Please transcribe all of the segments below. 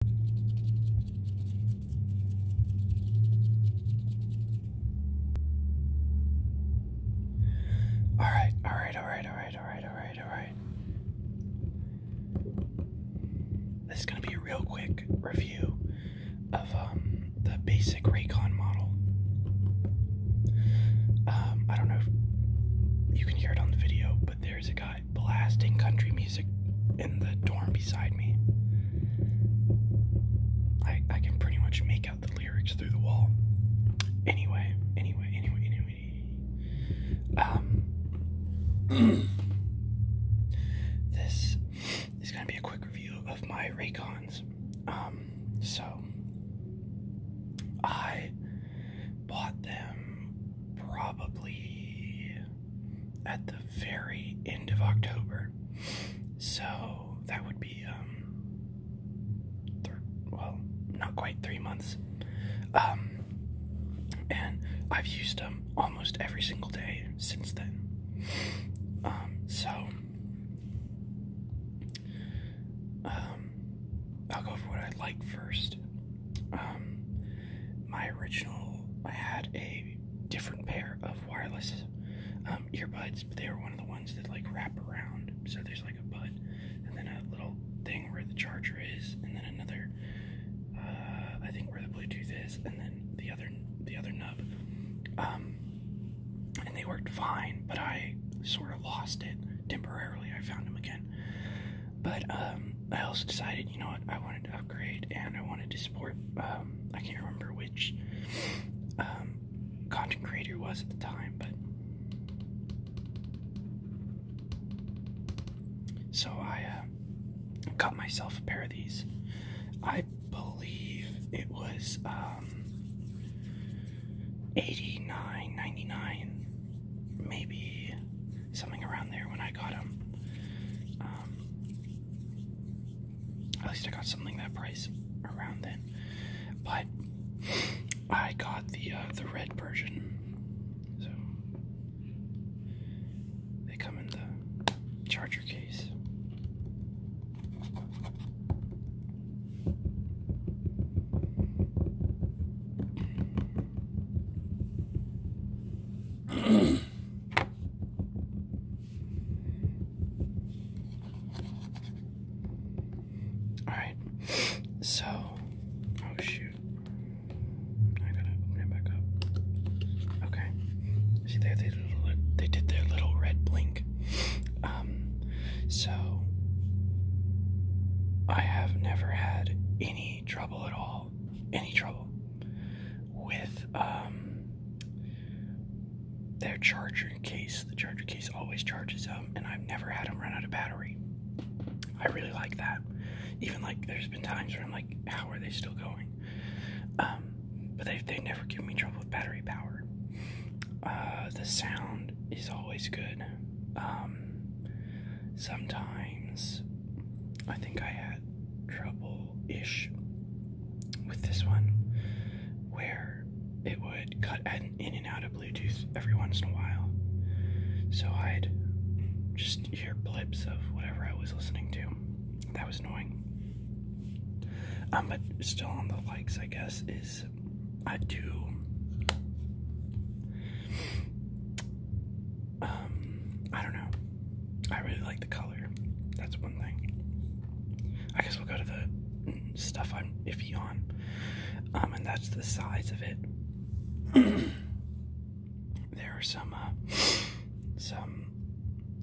All right, all right, all right, all right, all right, all right, all right. This is gonna be a real quick review of um, the basic Raycon model. Um, I don't know you can hear it on the video, but there's a guy blasting country music in the dorm beside me. I can pretty much make out the lyrics through the wall. Anyway, anyway, anyway, anyway. Um This is gonna be a quick review of my Raycons. Um, so I bought them probably at the very end of October. So that would be, um, well, not quite three months. Um, and I've used them almost every single day since then. Um, so, um, I'll go for what I like first. Um, my original, I had a different pair of wireless um, earbuds, but they were one of the ones that like wrap around. So there's like a bud, and then a little thing where the charger is, and then another, uh, I think where the Bluetooth is, and then the other, the other nub. Um, and they worked fine, but I sort of lost it temporarily. I found them again. But um, I also decided, you know what, I wanted to upgrade and I wanted to support, um, I can't remember which um, content creator was at the time, but. So I got uh, myself a pair of these. I believe it was, Eighty nine, ninety nine, maybe something around there when I got them. Um, at least I got something that price around then. But I got the uh, the red version. So they come in the charger case. All right, so oh shoot, I gotta open it back up. Okay, see there they, they, they did their little red blink. Um, um, so I have never had any trouble at all, any trouble with um, their charger case. The charger case always charges up, um, and I've never had them run out of battery. I really like that. Even like there's been times where I'm like, how are they still going? but they they never give me trouble with battery power. Uh, the sound is always good. Um, sometimes I think I had trouble ish with this one where it would cut in and out of Bluetooth every once in a while. So I'd just hear blips of whatever I was listening to. That was annoying. Um, but still on the likes, I guess, is I do um I don't know. I really like the color. That's one thing. I guess we'll go to the stuff I'm iffy on. Um and that's the size of it. there are some uh, some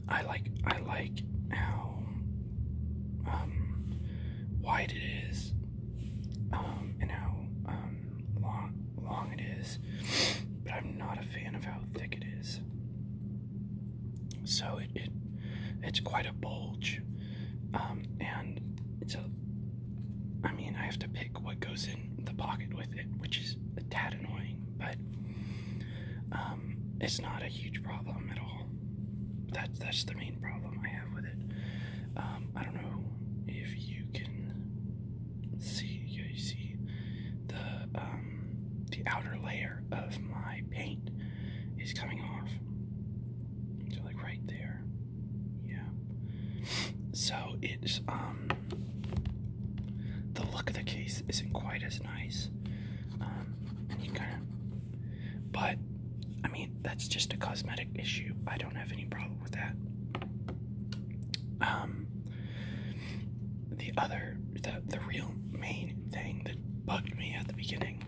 I like I like how um, wide it is, and um, how um, long long it is. But I'm not a fan of how thick it is. So it, it it's quite a bulge, um, and it's a. I mean, I have to pick what goes in the pocket with it, which is a tad annoying, but it's not a huge problem at all. That's that's the main problem I have with it. Um, I don't know if you can see. you see the um, the outer layer of my paint is coming off. So like right there. Yeah. So it's um the look of the case isn't quite as nice. Um, but, I mean, that's just a cosmetic issue. I don't have any problem with that. Um, the other, the the real main thing that bugged me at the beginning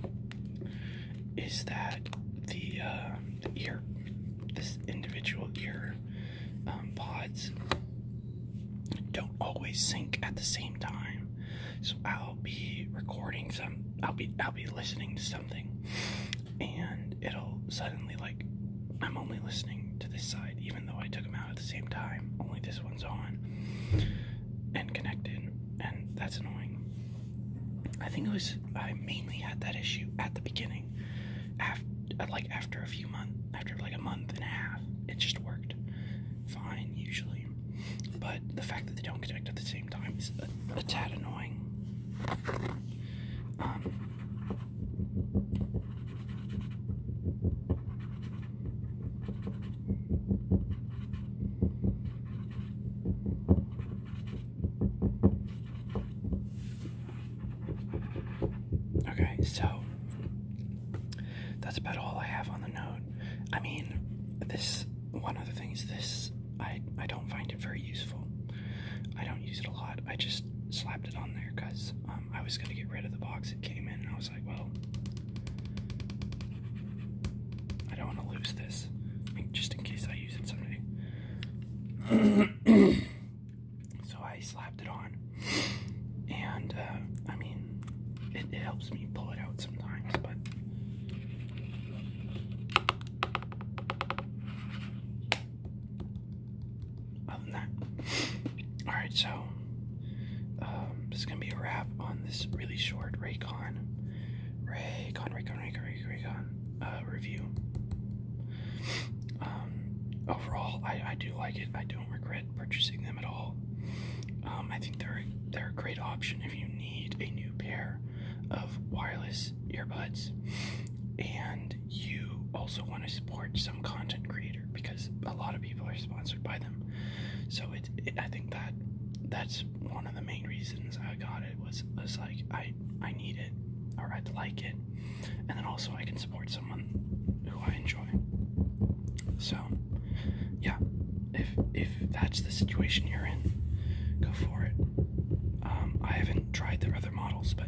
is that the uh, ear, this individual ear um, pods don't always sync at the same time. So I'll be recording some I'll be I'll be listening to something and it'll suddenly like I'm only listening to this side even though I took them out at the same time. Only this one's on and connected and that's annoying. I think it was I mainly had that issue at the beginning. After like after a few months after like a month and a half, it just worked fine usually, but the fact that they don't connect at the same time is a, tad annoying. Um, okay, so that's about all I have on the note. I mean, this one of the things this I I don't find it very useful. I don't use it a lot. I just slapped it on there because um, I was gonna get rid of the box it came in, and I was like, well, I don't want to lose this, just in case I use it someday. So I slapped it on, and uh, I mean, it, it helps me pull it out sometimes, but. Other than that, all right. So um, this is gonna be a wrap on this really short Raycon, Raycon, Raycon, Raycon, Raycon, Raycon uh, review. Um, overall, I I do like it. I don't regret purchasing them at all. Um, I think they're they're a great option if you need a new pair of wireless earbuds, and you also want to support some content creator because a lot of people are sponsored by them. So it, it I think that that's one of the main reasons I got it was was like I I need it or I'd like it, and then also I can support someone who I enjoy. So, yeah, if if that's the situation you're in, go for it. Um, I haven't tried their other models, but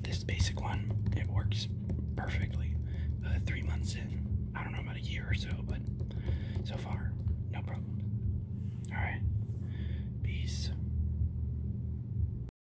this basic one it works perfectly. Uh, three months in, I don't know about a year or so, but so far, no problem. All right, peace.